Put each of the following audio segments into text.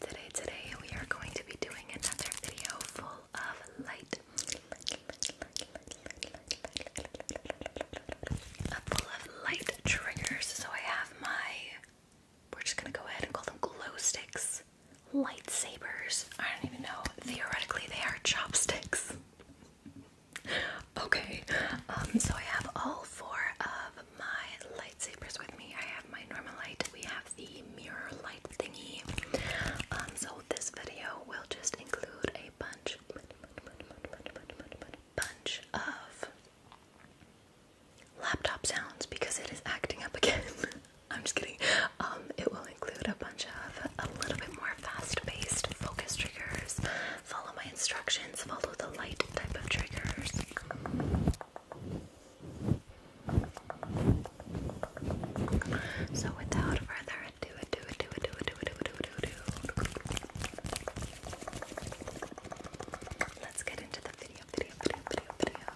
today, today, we are going to be doing another video full of light. Full of light triggers. So I have my, we're just gonna go ahead and call them glow sticks, lightsabers. I don't even know. Theoretically, they are chopsticks. okay, um, so I have all four of my lightsabers with me. I have my normal light. We have the mirror light thingy. Um, so this video will just include a bunch, bunch of laptop sounds because it is acting up again. I'm just kidding. Um, it will include a bunch of a little bit more fast-paced focus triggers. Follow my instructions. Follow the light type of triggers. So without further ado, ado, ado, ado, ado, ado, ado, ado, ado, let's get into the video, video, video, video, video.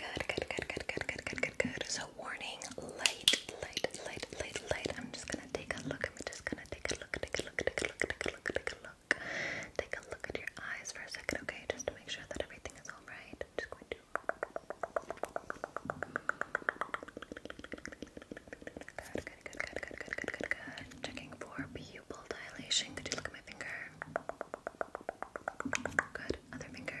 Good, good, good, good, good, good, good, good, good. So warning, light, light, light, light, light. I'm just gonna take a look look. I'm just gonna take a look, take a look, take a look, take a look, take a look. Take a look at your eyes for a second, okay? Just to make sure that everything is alright. just going to Good, good, good, good, good, good, good, good, good. Checking for pupil dilation. Could you look at my finger? Good. Other finger.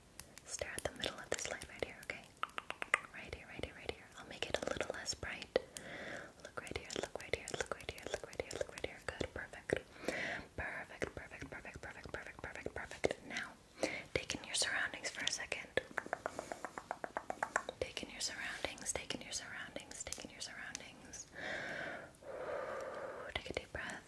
Stare at the middle of this light right here, okay? Right here, right here, right here. I'll make it a little less bright. Look right here, look right here, look right here, look right here, look right here. Good, perfect. Perfect, perfect, perfect, perfect, perfect, perfect, Now, take in your surroundings for a second. Take in your surroundings, take in your surroundings, take in your surroundings. Take a deep breath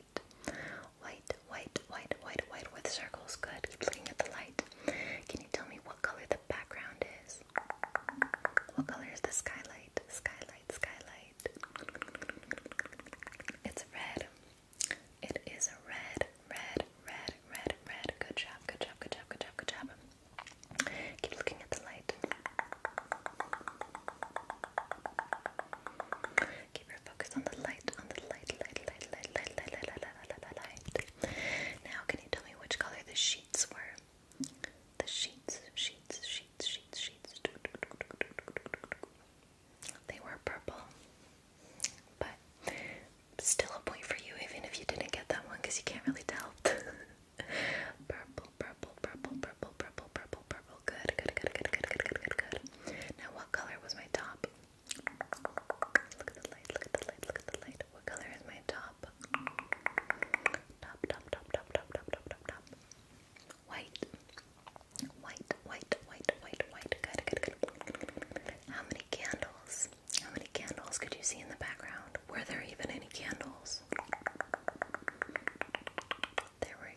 white, white, white, white, white, white with circles. Good. Keep looking at the light. Can you tell me what color the background is? What color is the skylight? Skylight, skylight. It's red. It is a red, red, red, red, red. Good job, good job, good job, good job, good job. Keep looking at the light. Keep your focus on the light, on the light, light, light, light, light, light, light, light, light, light, Now, can you tell me which color the sheets were? The sheets, sheets, sheets, sheets, sheets. They were purple, but still a point for you, even if you didn't get that one, because you can't really tell. purple purple, purple, purple, purple, purple, purple, Good, good, good, good, good, good, good, good, Now, what color was my top? Look at the light, look at the light, look at the light. What color is my top? Top, top, top, top, top, top, top, top, top. White. White, white, white, white, white. Good, good, good. How many candles? How many candles could you see in the background? Were there even any candles? There were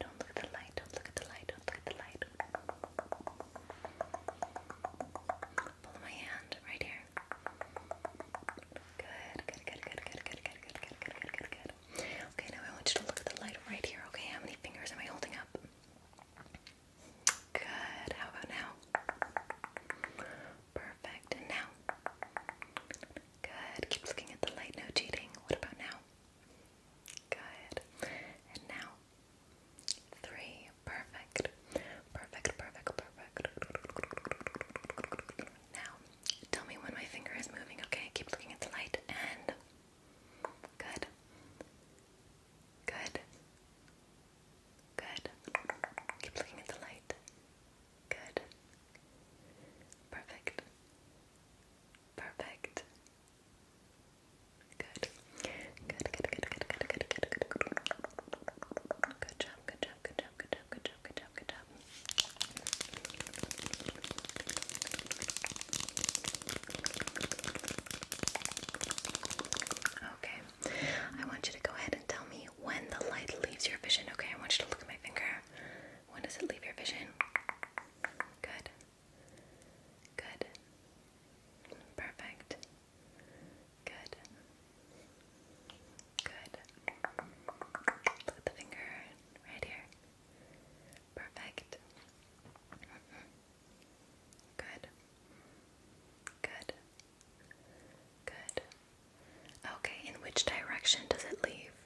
Don't look at the light, don't look at the light, don't look at the light. Pull my hand right here. good, good, good, good, good, good, good, good, good, good, good. Okay, now I want you to look at the light right here, okay? How many fingers am I holding up? Good, how about now? Perfect, and now? Good, keep looking at the light, no cheating. What about now? Good. And now, three. Perfect. Perfect, perfect, perfect. Now, tell me when my finger is moving, okay? Keep looking at the light and. Good. Good. Good. Keep looking at the light. Good. Perfect. Perfect. Good. Good, good, good, good, good, good, good, good, good. job, good job, good job, good job, good job, good job. Okay. I want you to go ahead and tell me when the light leaves your vision. Okay, I want you to look at my finger. When does it leave your vision? Good. Good. Perfect. Good. Good. Look the finger right here. Perfect. Good. Good. Good. Okay, in which direction does it leave?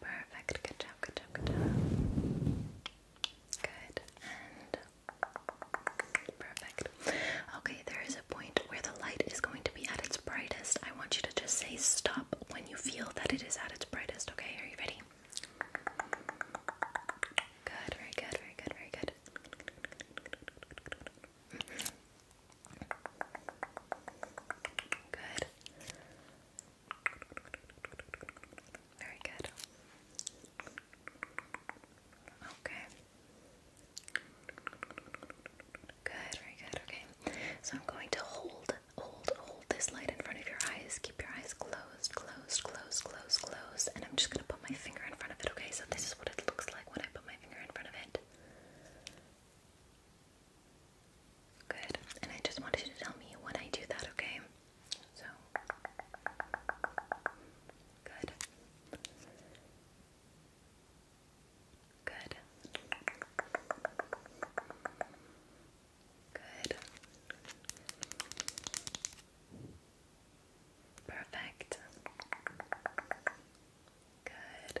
Perfect. Good job. Good job. Good job. Good. perfect. Okay, there is a point where the light is going to be at its brightest. I want you to just say stop when you feel that it is at its brightest. Okay, are you ready? Good. Very good. Very good. Very good. Mm-hmm. Good. Very good. Okay. Good, very good. Okay. So I'm going to hold, hold, hold this light in front of your eyes. Keep your eyes closed, closed, closed, closed, closed. And I'm just going to put my finger in front of it, okay? So this is what it looks like when I put my finger in front of it. Good. And I just wanted you to tell me when I do that, okay? So. Good. Good. Good. Perfect. Good.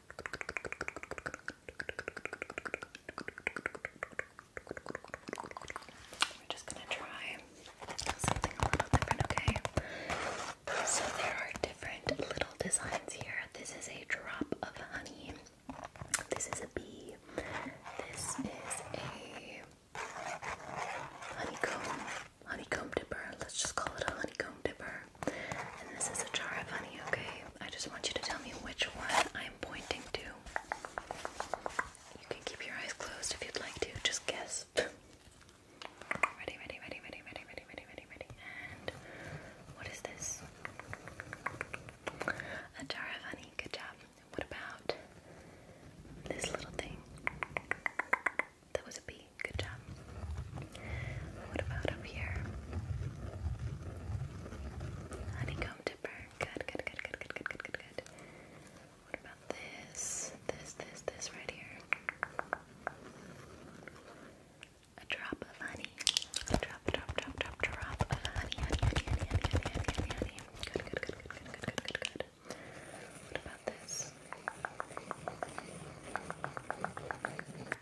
We're just gonna try something a little different, okay? So there are different little designs here. This is a drop of honey. This is a bee. This is a honeycomb honeycomb dipper. Let's just call it a honeycomb dipper. And this is a jar of honey, okay? I just want you to tell me which one I'm pointing to. You can keep your eyes closed if you'd like to, just guess. ready, ready, ready, ready, ready, ready, ready, ready, ready. And what is this? A jar of honey, good job. What about this little thing? That was a bee, good job. What about up here? Honeycomb dipper. Good, good, good, good, good, good, good, good, good. What about this? This, this, this right here. A drop of honey. Drop, drop, drop, drop, drop of honey, honey, honey, honey, honey, honey, honey, honey, honey. Good, good, good, good, good, good, good, good, good. What about this?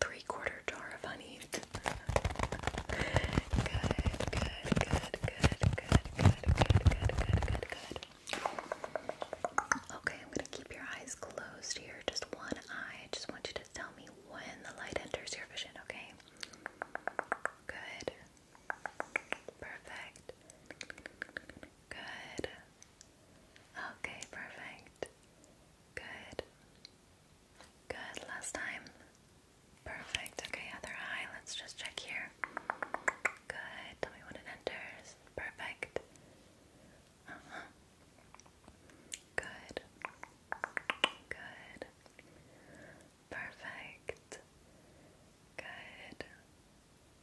three quarter jar of honey. good, good, good, good, good, good, good, good, good, good. Okay, I'm gonna keep your eyes closed here, just one eye. just want you to tell me when the light enters your vision, okay? Good. Perfect. Good. Okay, perfect. Good. Good, last time. Perfect. Okay, other eye. Let's just check here. Good. Tell me when it enters. Perfect. Uh-huh. Good. Good. Perfect. Good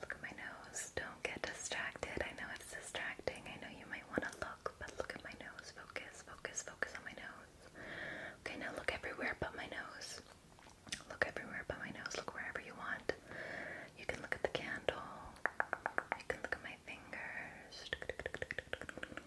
Look at my nose. Don't get distracted. I know it's distracting. I know you might want to look, but look at my nose. Focus, focus, focus on my nose. Okay, now look everywhere but my nose. Look everywhere but my nose. Look wherever you want. You can look at the candle. You can look at my fingers.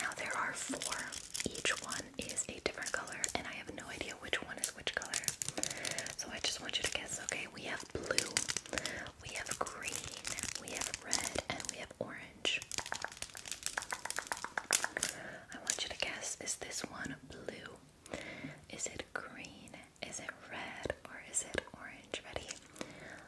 Now there are four. Each one is a different color, and I have no idea which one is which color. So I just want you to guess, okay? We have blue, we have green, we have red, and we have orange. I want you to guess is this one blue? Is it green? Is it red? Or is it orange? Ready?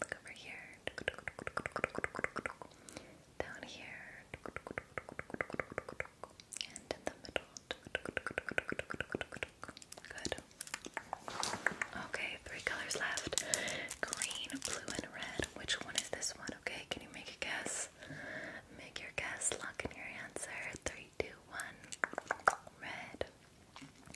Look over here. Down here. And in the middle. Good. Okay, three colors left. Green, blue, and red. Which one is this one? Okay, can you make a guess? Make your guess, lock in your answer. Three, two, one. Red.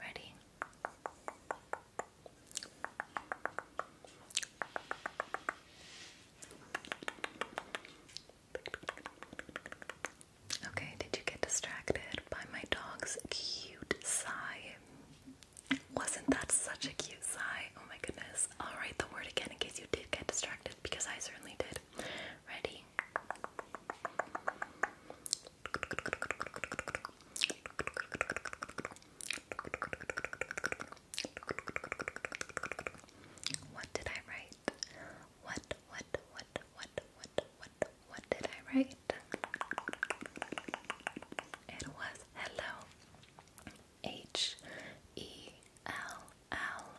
Ready? Okay, did you get distracted by my dog's cute sigh? Wasn't that such a cute sigh? Oh my goodness. i the word again in case you did get distracted because I certainly did. Ready? What did I write? What, what, what, what, what, what, what did I write? It was hello. H E L L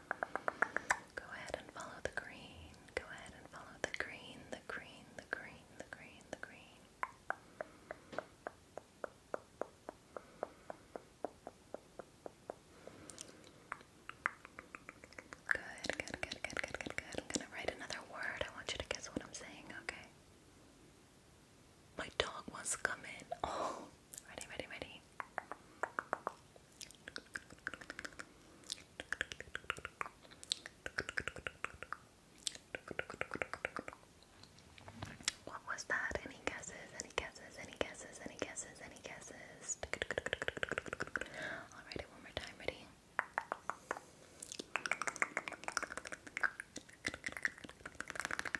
Go ahead and follow the green. Go ahead and follow the green, the green, the green, the green, the green. Good, good, good, good, good, good, I'm gonna write another word. I want you to guess what I'm saying, okay? My dog wants to come in. Oh, Ready, ready, ready. What was that? Any guesses? Any guesses? Any guesses? Any guesses? Any guesses? I'll write it one more time. Ready?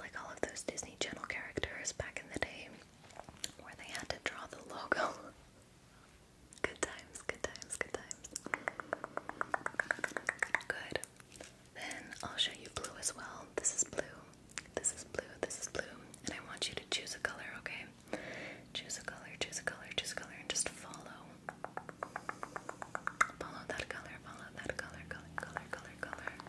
like all of those Disney Channel characters back in the day where they had to draw the logo. good times, good times, good times. Good. Then I'll show you blue as well. This is blue. This is blue. This is blue. And I want you to choose a color, okay? Choose a color, choose a color, choose a color, and just follow. Follow that color, follow that color, color, color, color, color.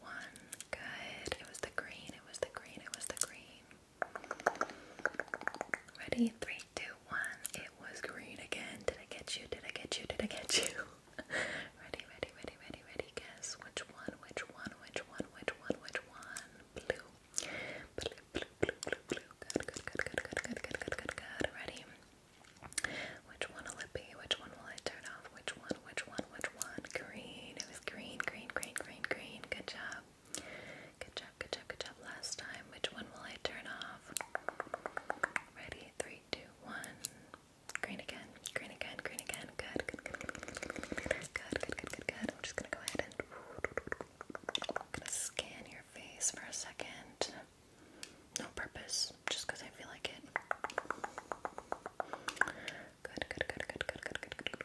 one. Good. It was the green. It was the green. It was the green. Ready? Three, two, one. It was green again. Did I get you? Did I get you? Did I get you? ready, ready, ready, ready, ready. Guess which one, which one, which one, which one, which one. Blue. Blue, blue, blue, blue, Good, good, good, good, good, good, good, good, good, Ready? Which one will it be? Which one will I turn off? Which one? which one, which one? Green. It was green, green, green, green, green. Good job. Good job, good job, good job. Last time, which one will I turn off? Ready? Three, two, one. Green again, green again, green again. Good, good, good, good, good, good, good, good, good, I'm just gonna go ahead and gonna scan your face for a second. No purpose, just I feel like it. Good, good, good, good, good, good, good, good,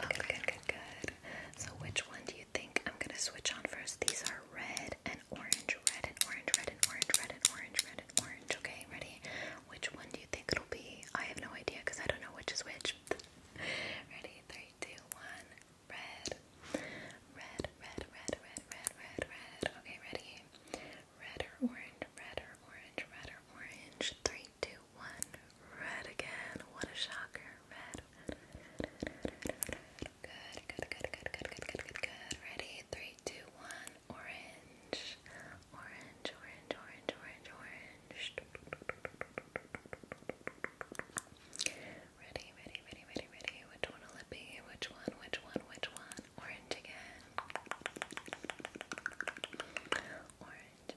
Good, good, good, good. So, which one do you think I'm gonna switch on first? These are red and orange, red and orange, red and orange, red and orange, red and orange. Okay, ready? Which one do you think it'll be? I have no idea because I don't know which is which. ready? Three, two, one. Red, red, red, red, red, red, red, red. Okay, ready? Red or orange, red or orange, red or orange. Three two, one. Red again. What a shocker. Red. Good, good, good, good, good, good, good, good, good. Ready? Three, two, one. Orange. Orange, orange, orange, orange, orange. Ready, ready, ready, ready, ready. Which one will it be? Which one? Which one? Which one? Orange again. Orange,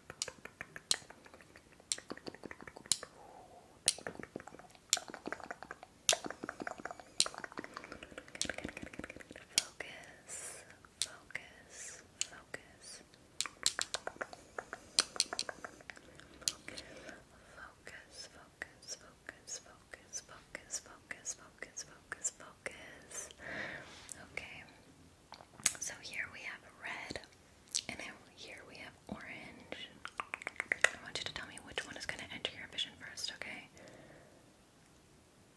Focus, focus, focus. Focus, focus, focus, focus, focus, focus, focus, focus, focus. Okay. So here we have red, and here we have orange. I want you to tell me which one is going to enter your vision first, okay?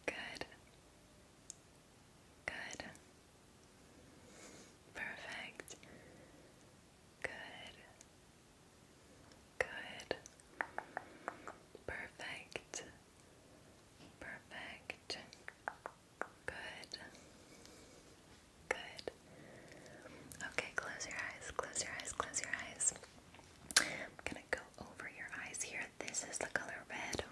Good. Good. Perfect. Good. Good. Perfect. Perfect. Good. Good. Okay, close your eyes, close your eyes, close your eyes. I'm gonna go over your eyes here. This is the color red,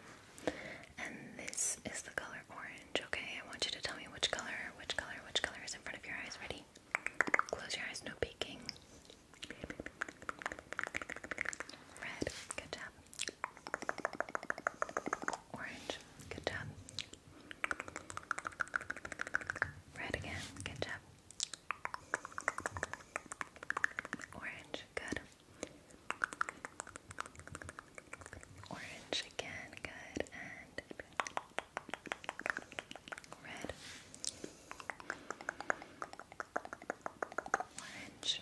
and this is the color orange. Okay, I want you to tell me which color, which color, which color is in front of your eyes. Ready? Close your eyes, no peeking. Red, good job. Orange, good job. Red again, good job. Orange, good. Orange again, good. And red. Orange.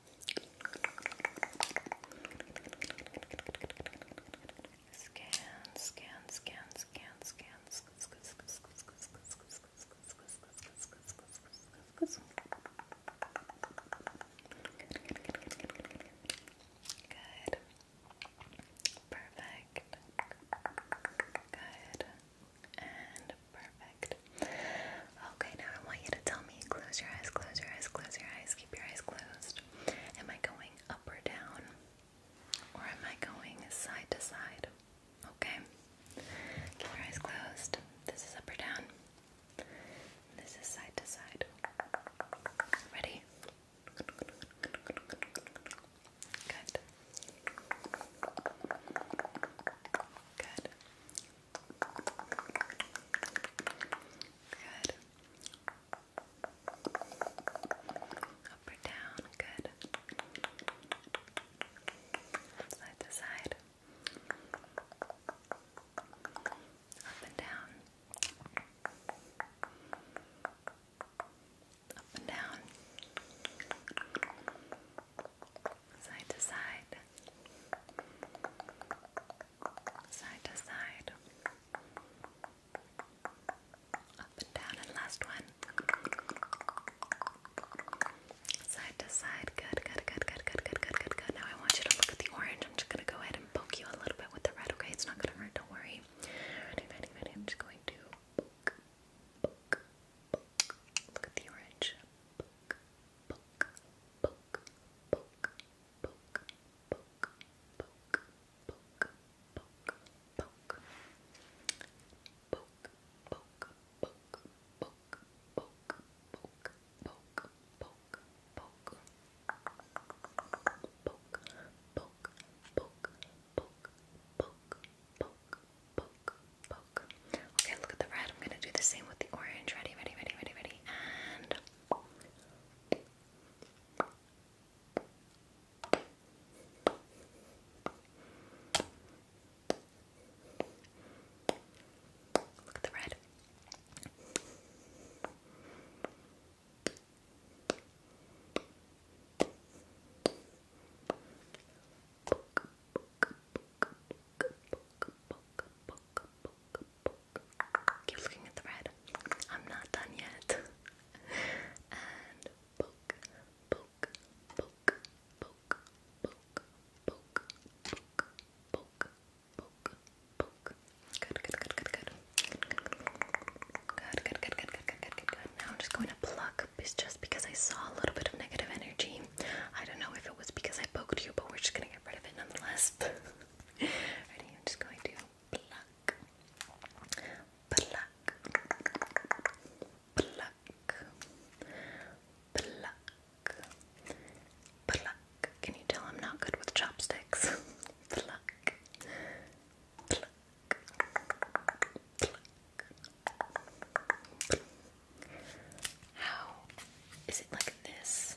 Scan, scan, scan, scan, scan. Good. Perfect. Good. And perfect. Okay, now I want you to tell me. Close your eyes, close your eyes, close your eyes, keep your eyes closed. Am I going up or down? Or am I going side to side? Okay. Keep your eyes closed. This is up or down. This is side to side. Ready? Good. Good. Good. Up or down, good. Side to side. Up and down. Up and down. Side to side side to side, up and down, and last one, side to side. Good, good, good, good, good, good, good, good, Now I want you to look at the orange. I'm just gonna go ahead and poke you a little bit with the red. Okay, it's not gonna hurt. Don't worry. I'm just going to Look at the orange. Okay, look at the red. I'm gonna do the same with the orange. Ready, ready, ready, ready, ready, and Look at the red. Book, book, book, book, book, book, book, book, book, Keep looking at the red. I'm not done yet. and poke, poke, poke, poke, poke, poke, poke, poke, poke, poke. Good, good, good, good, good. Good, good, good, good, good, Now I'm just going to pluck just because I saw a little bit of negative energy. I don't know if it was because I poked you, but we're just gonna get rid of it nonetheless. Ready? I'm just going to pluck, pluck, pluck, pluck, pluck. Can you tell I'm not good with chopsticks? pluck, pluck, pluck. How is it like this?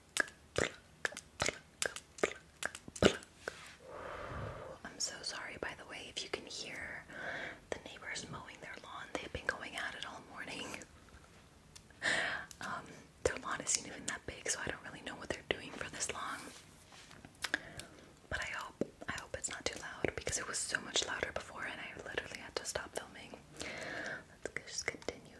I'm so sorry, by the way, if you can hear the neighbors mowing their lawn. They've been going at it all morning. Um, their lawn isn't even that big, so I don't really know what they're doing for this long. But I hope I hope it's not too loud because it was so much louder before, and I literally had to stop filming. Let's just continue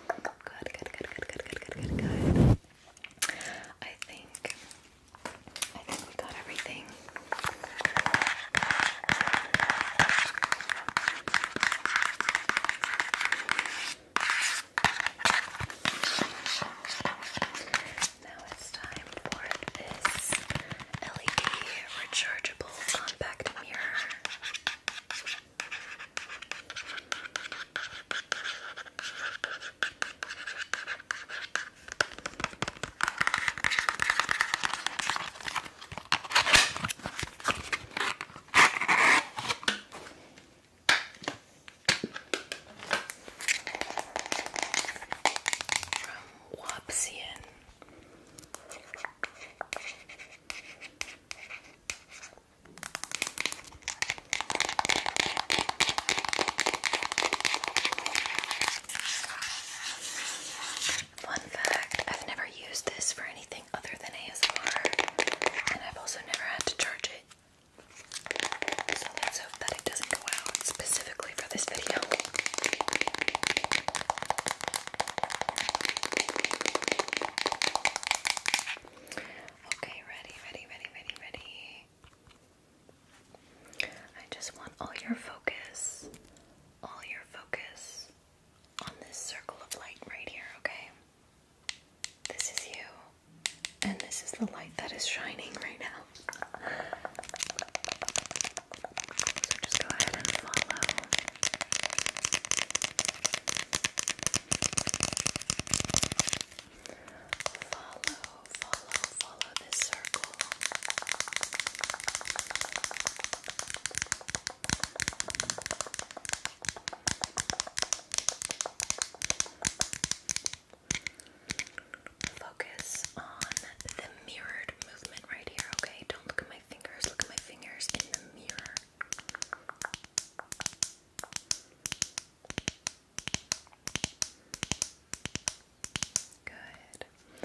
Good, good, good, good, good, good, good, good, good. I think I think we got everything. Now it's time for this LED rechargeable compact mirror. From Wapsian. Fun fact I've never used this for anything other than ASMR, and I've also never had to charge it. So let's hope that it doesn't go out specifically for this video. Okay, ready, ready, ready, ready, ready. I just want all your focus, all your focus on this circle of light right here, okay? This is you, and this is the light that is shining right now. So just go ahead and follow. Follow, follow, follow this circle. Focus on the mirrored movement right here, okay? Don't look at my fingers, look at my fingers in the mirror. Good. Good,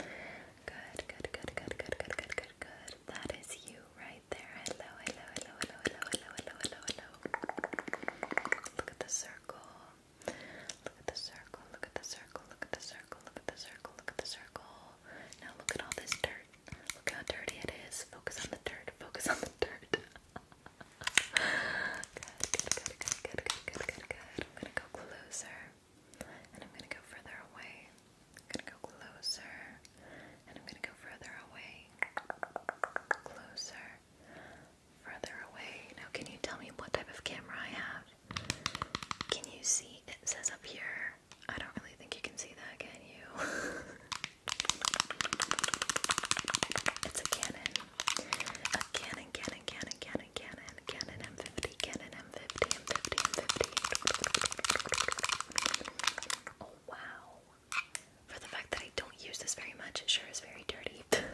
good, good, good, good, good, good, good, That is you right there. hello, hello, hello, hello, hello, hello, hello, hello. Look at the circle. Look at the circle, look at the circle, look at the circle, look at the circle, look at the circle. Now look at all this dirt Look how dirty it is. Focus on the dirt. Focus on the dirt. good, good, good, good, good, good, good, I'm gonna go closer. And I'm gonna go further away. I'm gonna go closer. And I'm gonna go further away. Closer. Further away. Now, can you tell me what type of camera I have? Can you see? It says up here I don't really think you can see that, can you? it's a Canon. A Canon, Canon, Canon, Canon, Canon, Canon M50, Canon M50, M50, M50. Oh wow. For the fact that I don't use this very much, it sure is very dirty.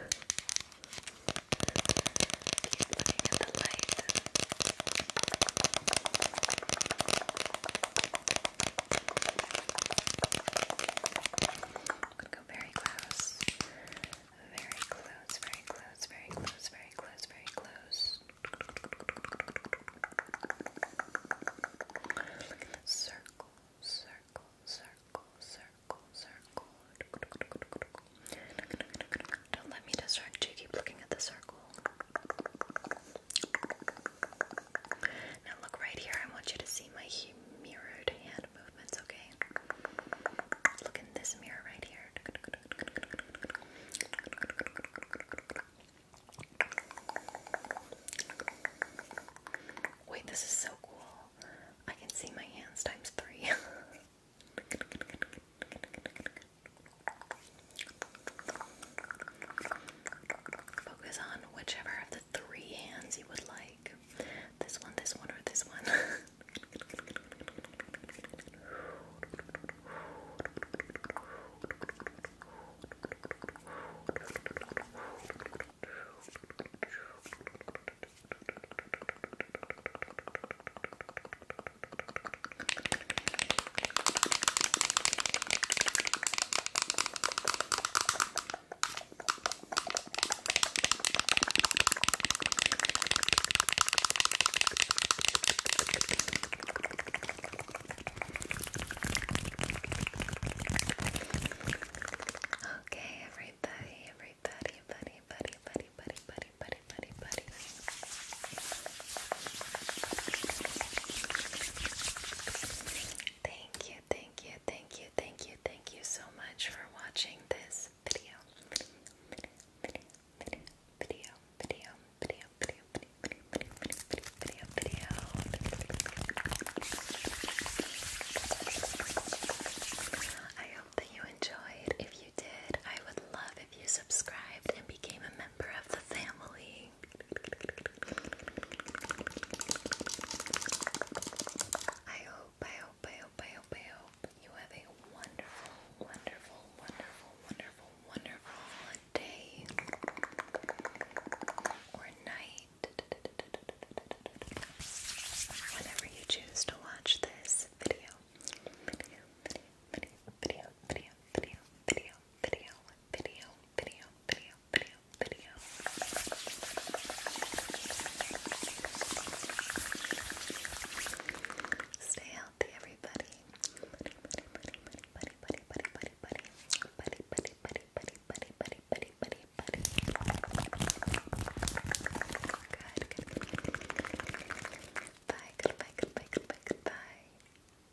I'm gonna go very close. Very close, very close, very close, very close, very close. Look at the circle, circle, circle, circle, circle. Don't let me distract you. Keep looking at the circle. Now look right here. I want you to see my mirrored hand movements, okay? Look in this mirror right here. Wait, this is so cool. I can see my hands times three. Focus on whichever of the three hands you would like. This one, this one, or this one. Okay, everybody, everybody, buddy, buddy, buddy, buddy, buddy, buddy, buddy, buddy. Thank you, thank you, thank you, thank you, thank you so much for watching this video. Video, video, video, video, video, video, video, video, video, video, video, I hope that you enjoyed. If you did, I would love if you subscribed and became a member of the family okay. I hope, I hope, I hope, I hope, I hope you have a wonderful, wonderful, wonderful, wonderful, wonderful day or night. Whenever you choose to watch this video, video, video, video, video, video, video, video, video, video, video, video, video. Stay healthy, everybody. Buddy, buddy, buddy, buddy, buddy, buddy, buddy, buddy, buddy, buddy, buddy, buddy, buddy, buddy, buddy, buddy. Bye, goodbye, goodbye, goodbye, goodbye.